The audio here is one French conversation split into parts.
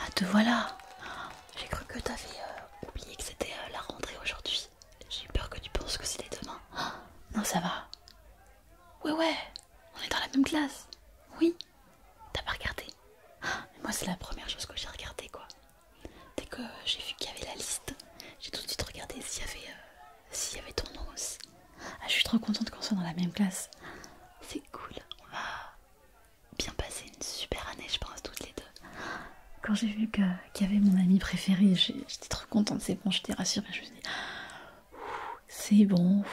Ah, te voilà J'ai cru que t'avais euh, oublié que c'était euh, la rentrée aujourd'hui. J'ai peur que tu penses que c'était demain. non, ça va. Ouais, ouais, on est dans la même classe. Oui, t'as pas regardé. moi, c'est la première chose que j'ai regardée, quoi. Dès que j'ai vu qu'il y avait la liste, j'ai tout de suite regardé s'il y avait euh, s'il y avait ton os je suis trop contente qu'on soit dans la même classe. C'est cool. On va bien passer une super année, je pense, toutes les deux. Quand j'ai vu qu'il y avait mon ami préféré, j'étais trop contente. C'est bon, j'étais rassurée. Je me suis dit, c'est bon.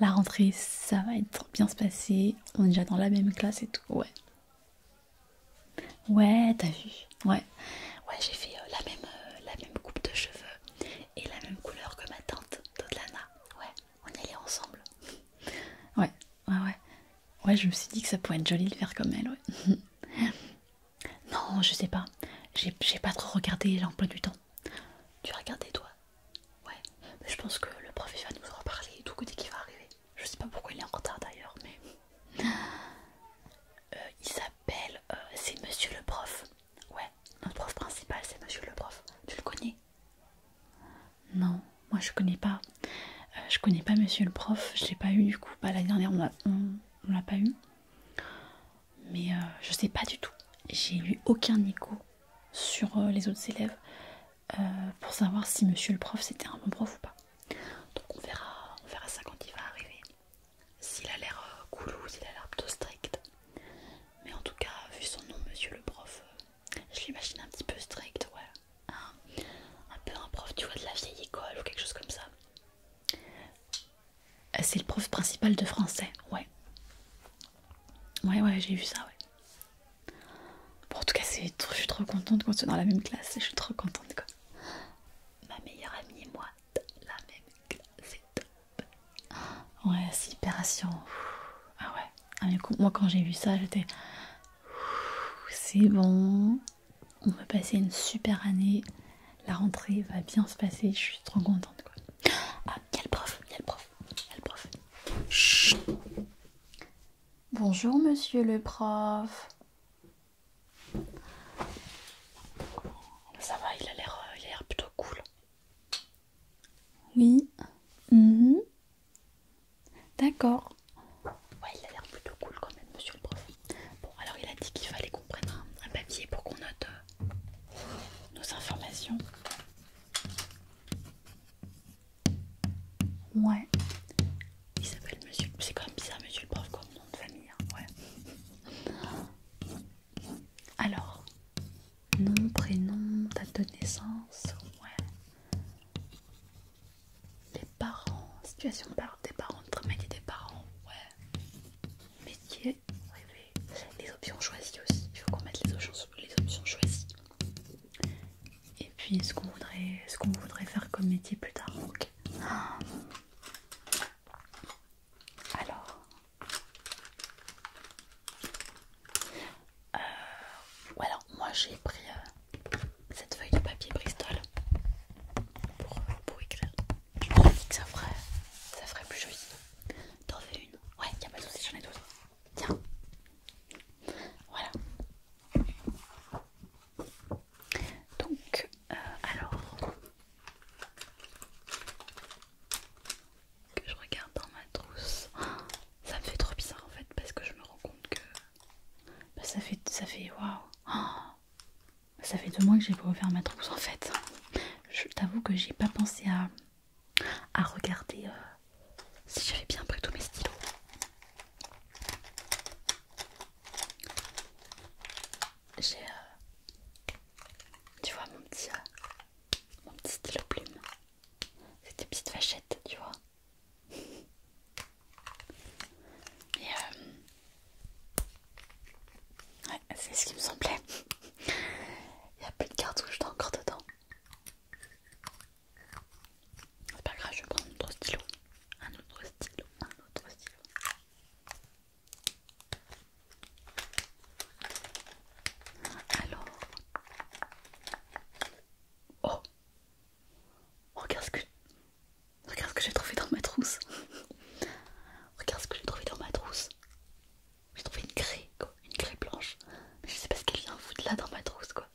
La rentrée, ça va être bien se passer. On est déjà dans la même classe et tout. Ouais. Ouais, t'as vu. Ouais. Ouais, j'ai fait euh, la, même, euh, la même coupe de cheveux et la même couleur que ma tante d'Odlana, Ouais, on y allait ensemble. ouais, ouais, ouais. Ouais, je me suis dit que ça pourrait être joli de faire comme elle, ouais. non, je sais pas. J'ai pas trop regardé l'emploi du temps. Tu as toi Ouais. je pense que le prof, il va nous en parler et tout côté qui va arriver. Je sais pas pourquoi il est en retard d'ailleurs, mais... Euh, il s'appelle... Euh, c'est Monsieur le prof. Ouais, notre prof principal c'est monsieur le prof. Tu le connais Non, moi je connais pas. Euh, je connais pas monsieur le prof, je l'ai pas eu du coup. pas bah, la dernière on, on, l'a pas eu. Mais euh, je sais pas du tout. J'ai eu aucun écho sur euh, les autres élèves pour savoir si monsieur le prof c'était un bon prof ou pas. Donc on verra, on verra ça quand il va arriver s'il a l'air euh, coulou, s'il a l'air plutôt strict. Mais en tout cas, vu son nom, monsieur le prof, euh, je l'imagine un petit peu strict, ouais. Un, peu un prof, tu vois, de la vieille école ou quelque chose comme ça. Euh, c'est le prof principal de français, ouais. Ouais, ouais, j'ai vu ça, ouais. en tout cas, je suis trop contente qu'on soit dans la même classe, je suis trop contente, quoi. Ma meilleure amie et moi, la même classe, c'est Ouais, c'est assurant Ah ouais. Ah, moi quand j'ai vu ça, j'étais... C'est bon. On va passer une super année. La rentrée va bien se passer. Je suis trop contente. Quoi. Ah, il y a le prof. Il y a le prof. Il y a le prof. Bonjour monsieur le prof. Ça va, euh, il a l'air plutôt cool. Oui. Mhm. D'accord. Ouais, il a l'air plutôt cool quand même, monsieur le prof. Bon, alors il a dit qu'il fallait qu'on prenne un, papier pour qu'on note euh, nos informations. Ouais. Il s'appelle monsieur. C'est quand même bizarre, monsieur le prof, comme nom de famille. Hein, ouais. Alors, nom, prénom, date de naissance, ouais. Les parents, situation des parents, métier des parents, ouais. Métier, Les options choisies aussi, il faut qu'on mette les options, les options choisies. Et puis ce qu'on voudrait, ce qu'on voudrait faire comme métier plus tard, ok. Ah. Alors, euh, voilà, moi j'ai pris euh, cette feuille de papier Bristol pour, euh, pour écrire. Je me que ça ferait, ça ferait plus joli. T'en fais une Ouais, y a pas de soucis, j'en ai d'autres. Tiens, voilà. Donc, euh, alors que je regarde dans ma trousse, ça me fait trop bizarre en fait parce que je me rends compte que bah, ça fait ça fait waouh, ça fait deux mois que j'ai pas ouvert ma trousse en fait. Je t'avoue que j'ai pas pensé à regarder euh, si j'avais bien pris tous mes stylos j'ai euh, tu vois mon petit euh, mon petit stylo plume c'est des petites vachettes tu vois et euh, ouais c'est ce qui me semblait il n'y a plus de cartouche encore dedans c'est pas grave je vais prendre un autre stylo un autre stylo un autre stylo alors, oh, regarde ce que, regarde ce que j'ai trouvé dans ma trousse. regarde ce que j'ai trouvé dans ma trousse. J'ai trouvé une craie, quoi, une craie blanche. Mais je sais pas ce qu'elle vient foutre là dans ma trousse, quoi.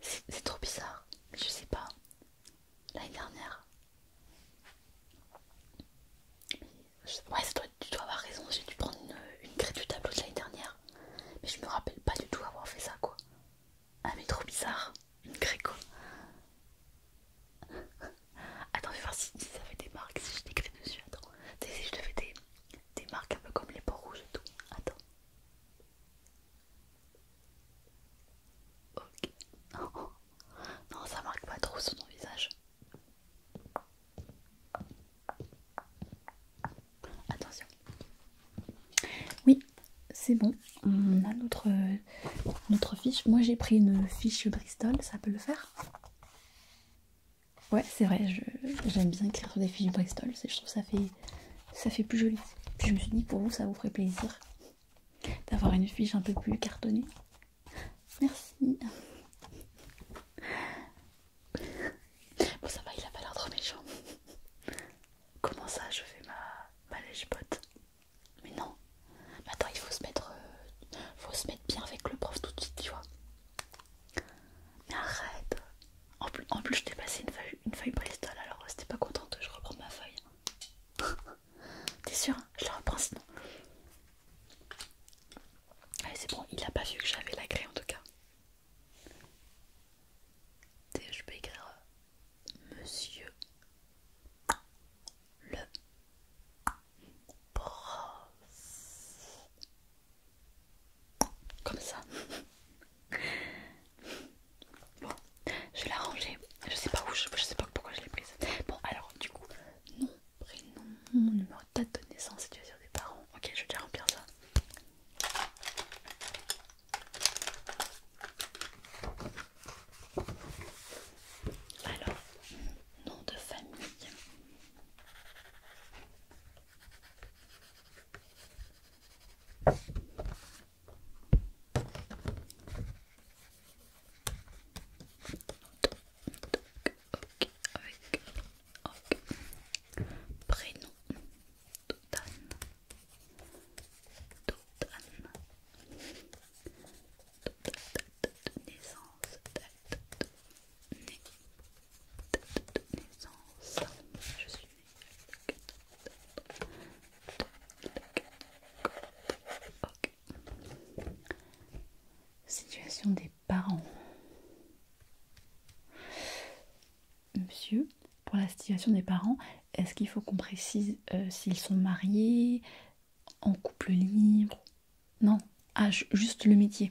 C'est trop bizarre, je sais pas. L'année dernière. Ouais, toi, tu dois avoir raison, j'ai dû prendre une, une du tableau de l'année dernière. Mais je me rappelle pas du tout avoir fait ça, quoi. Ah, mais trop bizarre, une quoi. Attends, je vais voir si, ça fait des marques, si je décrète dessus. Attends, si je te fais des, des marques un peu comme les peaux rouges et tout. Attends, Ok. Non. ça marque pas trop sur ton visage. Attention. Oui, c'est bon. On a notre, notre fiche. Moi j'ai pris une fiche Bristol, ça peut le faire Ouais, c'est vrai, j'aime bien écrire sur des fiches Bristol. Je trouve que ça fait ça fait plus joli. je me suis dit, pour vous, ça vous ferait plaisir d'avoir une fiche un peu plus cartonnée. Merci. Bon, ça va, il a pas l'air trop méchant. Comment ça, je fais ma, lèche Mais non. attends, il faut se mettre, euh, faut se mettre bien avec le prof tout de suite, tu vois. Mais arrête. En plus, je t'ai passé une feuille, une feuille Bristol, alors c'était euh, pas contente, je reprends ma feuille. T'es sûr Je la reprends sinon. Allez, c'est bon, il a pas vu que j'avais la grille en tout cas. Je peux écrire euh, Monsieur le prof. Comme ça. Bon, je vais la ranger. Je sais pas où, je, sais pas pourquoi je l'ai prise. Bon, alors du coup, nom, prénom, numéro de date de naissance, dire des parents. Ok, je vais déjà remplir ça. Alors, nom de famille ok, avec prénom naissance, date naissance, je suis Situation des parents. Monsieur, pour la situation des parents, est-ce qu'il faut qu'on précise euh, s'ils sont mariés, en couple libre Non. Ah, juste le métier.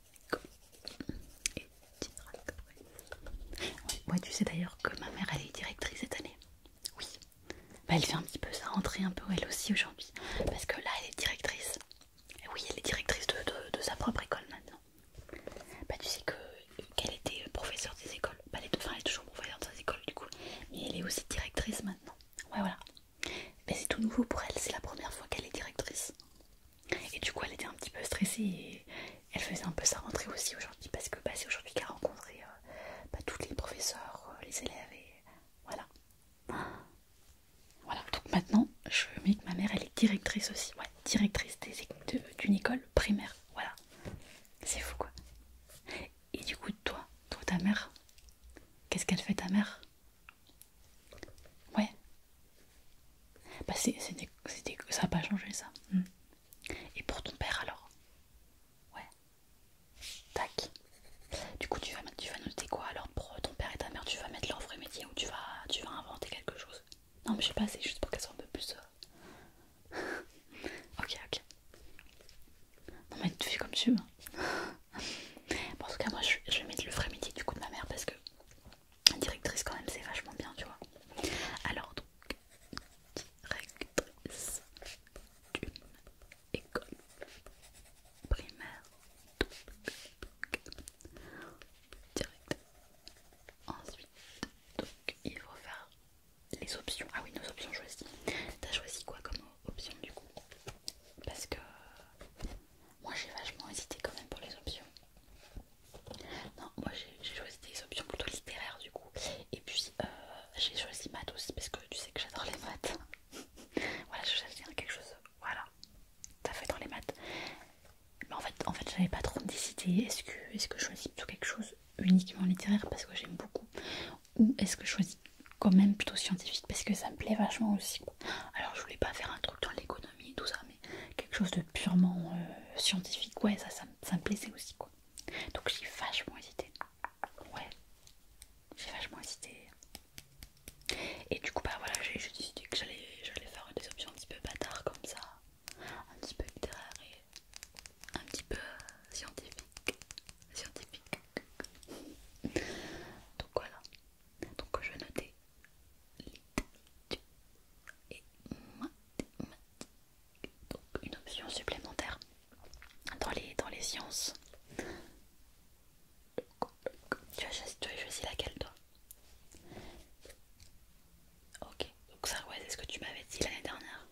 et tu sais d'ailleurs que ma mère elle est directrice cette année. Oui, bah, elle fait un petit peu sa rentrée un peu elle aussi aujourd'hui parce que là elle est directrice. oui, elle est directrice de, de, sa propre école maintenant. Bah tu sais que qu'elle était professeure des écoles. Bah, elle est, enfin, elle est toujours professeure ses écoles du coup, mais elle est aussi directrice maintenant. Ouais voilà. Mais c'est tout nouveau pour elle, c'est la première fois qu'elle est directrice. Et du coup, elle était un petit peu stressée et elle faisait un peu sa rentrée aussi aujourd'hui parce que bah, c'est aujourd'hui qu'elle a rencontré euh, bah, tous les professeurs, euh, les élèves et voilà. Voilà, donc maintenant, je mets que ma mère, elle est directrice aussi, ouais, directrice d'une école primaire, voilà. C'est fou quoi. Et du coup, toi, toi ta mère, qu'est-ce qu'elle fait ta mère Ouais. Bah c'est, ça n'a pas changé ça. Hmm. Et pour ton père alors Ouais. Tac. Du coup tu vas, tu vas noter quoi alors pour ton père et ta mère Tu vas mettre leur vrai métier ou tu vas, tu vas inventer quelque chose Non mais je sais pas, c'est juste pour qu'elles soient un peu plus... Euh, ok, ok. Non mais tu fais comme tu veux en tout cas moi je, vais mettre le vrai métier du coup de ma mère parce que directrice quand même c'est vachement bien tu vois alors donc directrice d'une école primaire direct ensuite donc il faut faire les options ah oui nos options choisies t'as choisi quoi comme option du coup parce que moi j'ai vachement hésité quand même pour les options. Non, moi j'ai choisi des options plutôt littéraires du coup. Et puis euh, j'ai choisi maths aussi parce que tu sais que j'adore les maths. voilà, je cherche quelque chose. Voilà, ça fait dans les maths. Mais en fait, en fait j'avais pas trop décidé. Est-ce que, est que je choisis plutôt quelque chose uniquement littéraire parce que j'aime beaucoup Ou est-ce que je choisis quand même plutôt scientifique parce que ça me plaît vachement aussi. Quoi. Alors je voulais pas faire un truc dans l'économie et tout ça, mais quelque chose de purement euh, scientifique, ouais, ça, ça, me plaisait aussi quoi. Donc j'ai vachement hésité. Ouais, j'ai vachement hésité. Et du coup, bah voilà, j'ai décidé que j'allais faire des options un petit peu bâtard comme ça, un petit peu littéraire et un petit peu euh, scientifique scientifique. Donc voilà. Donc je vais noter et Donc une option supplémentaire dans les, dans les sciences. Tu as, tu as choisi laquelle toi Ok, donc ça ouais c'est ce que tu m'avais dit l'année dernière.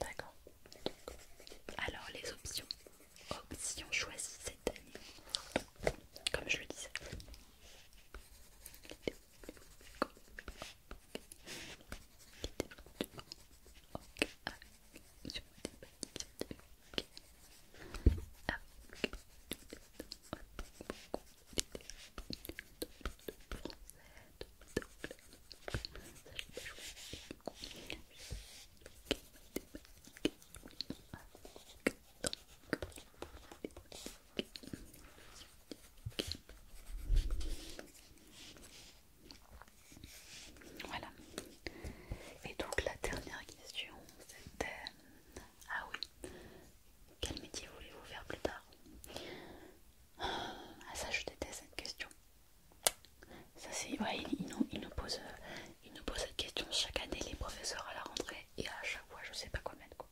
D'accord. Alors les options si on choisit cette année, comme je le disais. Voilà. Et donc la dernière question, c'était... Euh, ah oui, quel métier voulez-vous faire plus tard Ah ça, je déteste cette question. Ça c'est, ouais, ils, nous, posent, euh, cette question chaque année, les professeurs à la rentrée, et à chaque fois, je sais pas combien de quoi.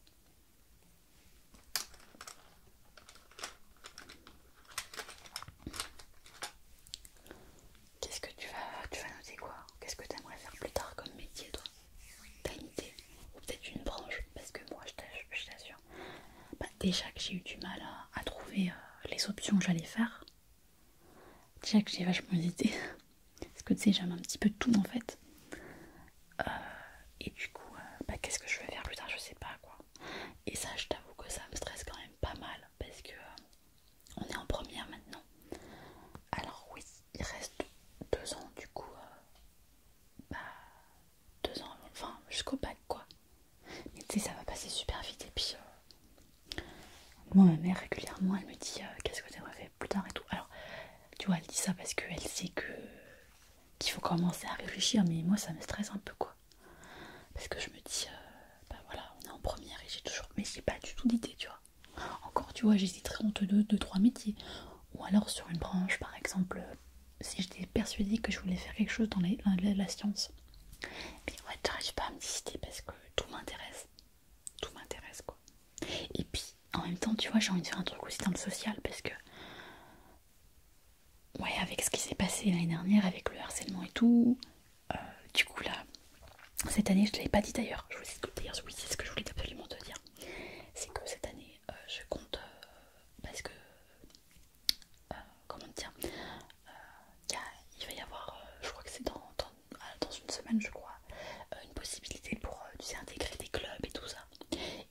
Qu'est-ce que tu vas, tu vas noter quoi Qu'est-ce que tu aimerais faire plus tard comme métier, toi T'as une idée Ou peut-être une branche Parce que moi, je t'assure, bah, déjà que j'ai eu du mal à, trouver euh, les options que j'allais faire. Déjà que j'ai vachement hésité. Parce que tu sais, j'aime un petit peu tout en fait. Euh, et du coup, euh, bah, qu'est-ce que je vais faire plus tard Je sais pas quoi. Et ça, je t'avoue que ça me stresse quand même pas mal. Parce que euh, on est en première maintenant. Alors, oui, il reste deux ans du coup. bah, deux ans, enfin jusqu'au bac quoi. Mais tu sais, ça va passer super vite. Et puis, euh, moi, ma mère, régulièrement, elle me dit euh, Qu'est-ce que t'aimerais fait plus tard et tout. Alors, tu vois, elle dit ça parce qu'elle sait que qu'il faut commencer à réfléchir, mais moi, ça me stresse un peu, quoi. Parce que je me dis, euh, bah voilà, on est en première et j'ai toujours. Mais j'ai pas du tout d'idée, tu vois. Encore, tu vois, j'hésiterais entre deux, de trois métiers. Ou alors sur une branche, par exemple, si j'étais persuadée que je voulais faire quelque chose dans la science, et Mais ouais, j'arrive pas à me décider parce que tout m'intéresse. Tout m'intéresse quoi. Et puis en même temps, tu vois, j'ai envie de faire un truc aussi dans le social parce que. Ouais, avec ce qui s'est passé l'année dernière, avec le harcèlement et tout. Euh, du coup, là, cette année, je ne l'avais pas dit d'ailleurs. Je vous dis d'ailleurs, oui, c'est ce que je voulais absolument te dire. C'est que cette année, euh, je compte. Euh, parce que euh, comment dire, euh, il va y avoir, euh, je crois que c'est dans, ah, une semaine, je crois, une possibilité pour intégrer des clubs et tout ça.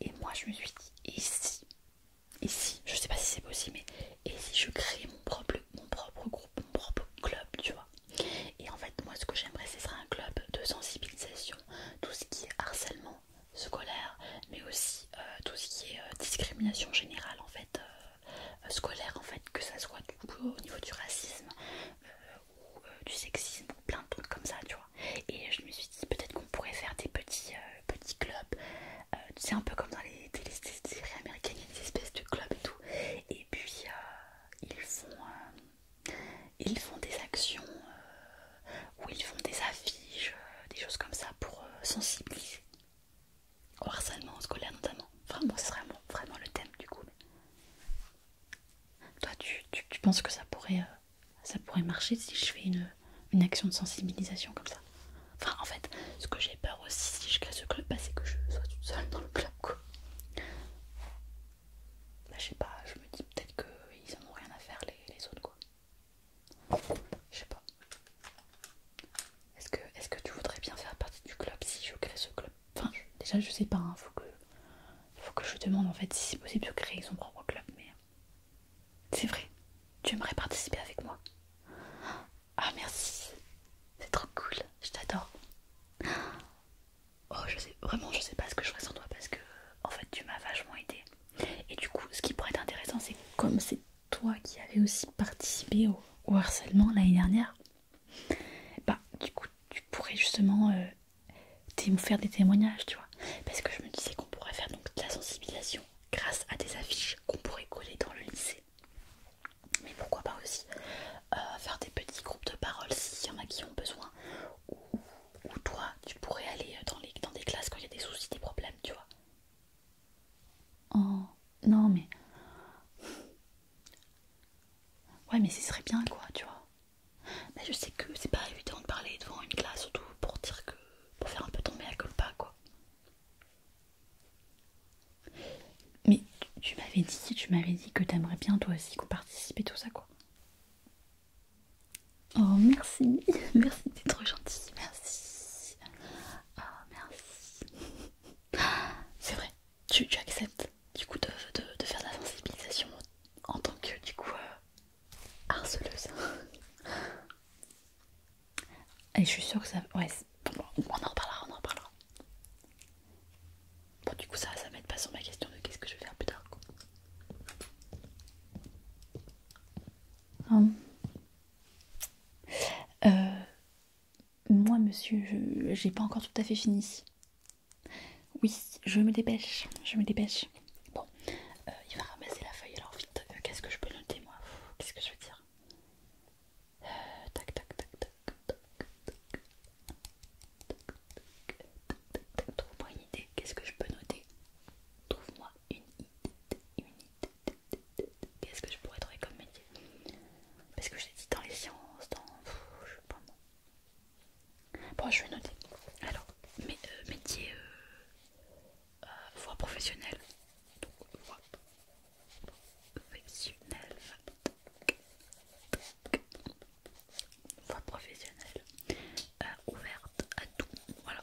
Et moi, je me suis dit, et si, et si, je sais pas si c'est possible, mais et si je crée mon propre, mon propre groupe, mon propre club, tu vois. Et en fait, moi, ce que j'aimerais, ce serait un club de sensibilisation, tout ce qui est harcèlement scolaire, mais aussi tout ce qui est discrimination générale, en fait euh, euh, scolaire en fait, que ça soit du coup au niveau du racisme euh, ou du sexisme ou plein de trucs comme ça, tu vois. Et je me suis dit peut-être qu'on pourrait faire des petits, petits clubs, tu sais un peu comme dans les séries américaines, il y a des espèces de clubs et tout. Et puis ils font ils font des actions où ils font des affiches, des choses comme ça pour sensibiliser au harcèlement scolaire notamment. Enfin moi c'est vraiment, vraiment le thème du coup. Toi, tu, penses que ça pourrait, euh, ça pourrait marcher si je fais une, action de sensibilisation comme ça Enfin, en fait, ce que j'ai peur aussi si je casse ce club, bah, c'est que je sois toute seule dans le club quoi. Bah, je sais pas, je me dis peut-être qu'ils en ont rien à faire les, les autres quoi. Je sais pas. Est-ce que, tu voudrais bien faire partie du club si je crée ce club Enfin, déjà, je sais pas, Il hein, faut que, faut que je demande en fait si c'est possible de créer son propre club, mais. C'est vrai, tu aimerais participer avec moi Ah, merci, c'est trop cool, je t'adore. Oh, je sais, vraiment, je sais pas ce que je ressens toi parce que, en fait, tu m'as vachement aidé. Et du coup, ce qui pourrait être intéressant, c'est comme c'est toi qui avais aussi participé au, harcèlement l'année dernière, bah du coup tu pourrais justement euh, faire des témoignages, tu vois. Parce que je me disais qu'on pourrait faire donc de la sensibilisation grâce à des affiches qu'on pourrait coller dans le lycée. Mais pourquoi pas aussi euh, faire des petits groupes de parole s'il y en a qui ont besoin. Ou, ou toi, tu pourrais aller euh, dans, les, dans des classes quand il y a des soucis, des problèmes, tu vois. Oh, non, mais. Ouais, mais ce serait bien, quoi, tu vois. Mais je sais que c'est pas évident de parler devant une classe, surtout pour dire que. pour faire un peu tomber la colpa quoi. Mais tu m'avais dit, tu m'avais dit que t'aimerais bien toi aussi qu'on participe à tout ça, quoi. Oh merci, merci t'es trop gentil, merci. Oh merci. C'est vrai, tu, acceptes du coup de, faire de la sensibilisation en tant que du coup euh, harceleuse. Et je suis sûre que ça... Ouais, on en reparlera, on en reparlera. Bon du coup ça, ça m'aide pas sur ma question de qu'est-ce que je vais faire plus tard. Quoi moi, monsieur, j'ai pas encore tout à fait fini. Oui, je me dépêche, je me dépêche. Bon, il va ramasser la feuille, alors vite, qu'est-ce que je peux noter, moi Qu'est-ce que je veux dire Tac, tac, tac, tac, tac, tac, tac, tac, tac, tac, Qu'est-ce que je pourrais trouver comme métier Parce que je l'ai dit dans les sciences, dans. je sais pas moi. Bon, je vais noter. Alors, euh, métier euh, euh, voie professionnelle. voie professionnelle. Voie professionnelle ouverte à tout. Voilà.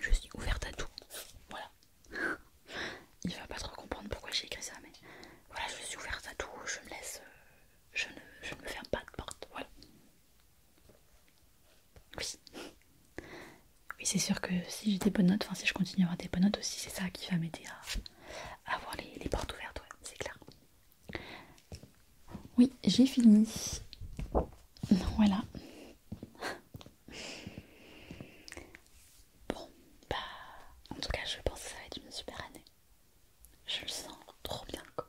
Je suis ouverte à tout. Voilà. Il va pas trop comprendre pourquoi j'ai écrit ça, mais voilà, je suis ouverte à tout. Je laisse. Euh, je ne, me ferme pas de porte. Voilà. Oui. Oui, c'est sûr que si j'ai des bonnes notes, enfin si je continue à avoir des bonnes notes aussi, c'est ça qui va m'aider à, avoir les, les portes ouvertes, c'est clair. Oui, j'ai fini. Voilà. Bon, bah, en tout cas, je pense que ça va être une super année. Je le sens trop bien. Quoi.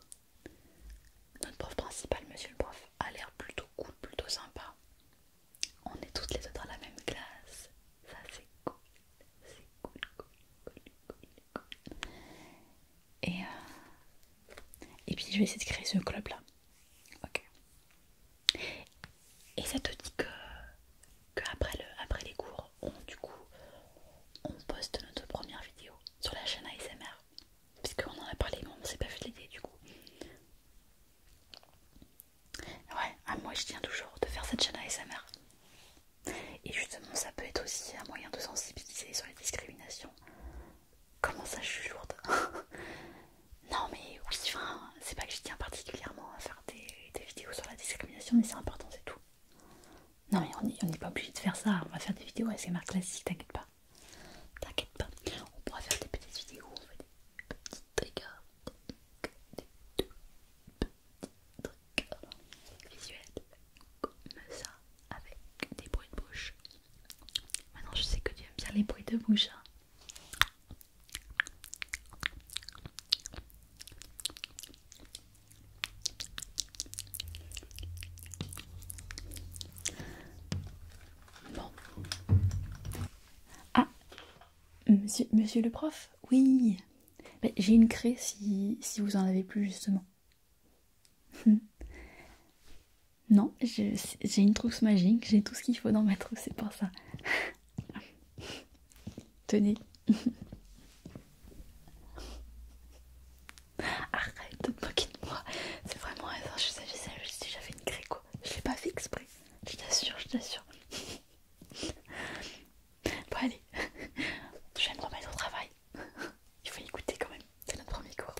Notre prof principal, monsieur le prof, a l'air plutôt cool, plutôt sympa. On est toutes les deux dans la même classe. Ça, c'est cool. C'est cool, cool, cool, cool, cool. Et, euh, et puis je vais essayer de créer ce club là. Ok. Et ça te dit que, que après, le, après les cours, on, du coup, on poste notre première vidéo sur la chaîne ASMR. Puisqu'on en a parlé, mais on s'est pas fait l'idée du coup. Ouais, à moi je tiens toujours de faire cette chaîne ASMR. Et justement, ça peut être aussi un moyen de sensibiliser sur les discriminations Comment ça, je suis lourde Non, mais oui, enfin, c'est pas que je tiens particulièrement à faire des, vidéos sur la discrimination, mais c'est important, c'est tout. Non, mais on n'est pas obligé de faire ça, on va faire des vidéos marques classiques, t'inquiète pas. T'inquiète pas, on pourra faire des petites vidéos, on fait des petits triggers, des petits trucs visuels, comme ça avec des bruits de bouche. Maintenant, je sais que tu aimes bien les bruits de bouche. Hein. Bon. Ah, monsieur, monsieur le prof, oui. J'ai une craie si, si vous en avez plus justement. Hmm. non, j'ai une trousse magique, j'ai tout ce qu'il faut dans ma trousse, c'est pour ça. Tenez. Arrête de me moquer de moi. C'est vraiment hasard. Je sais ça, je fait une gréco. quoi. Je l'ai pas fait exprès. Je t'assure, je t'assure. Bon allez, je vais me remettre au travail. Il faut y goûter quand même, c'est notre premier cours.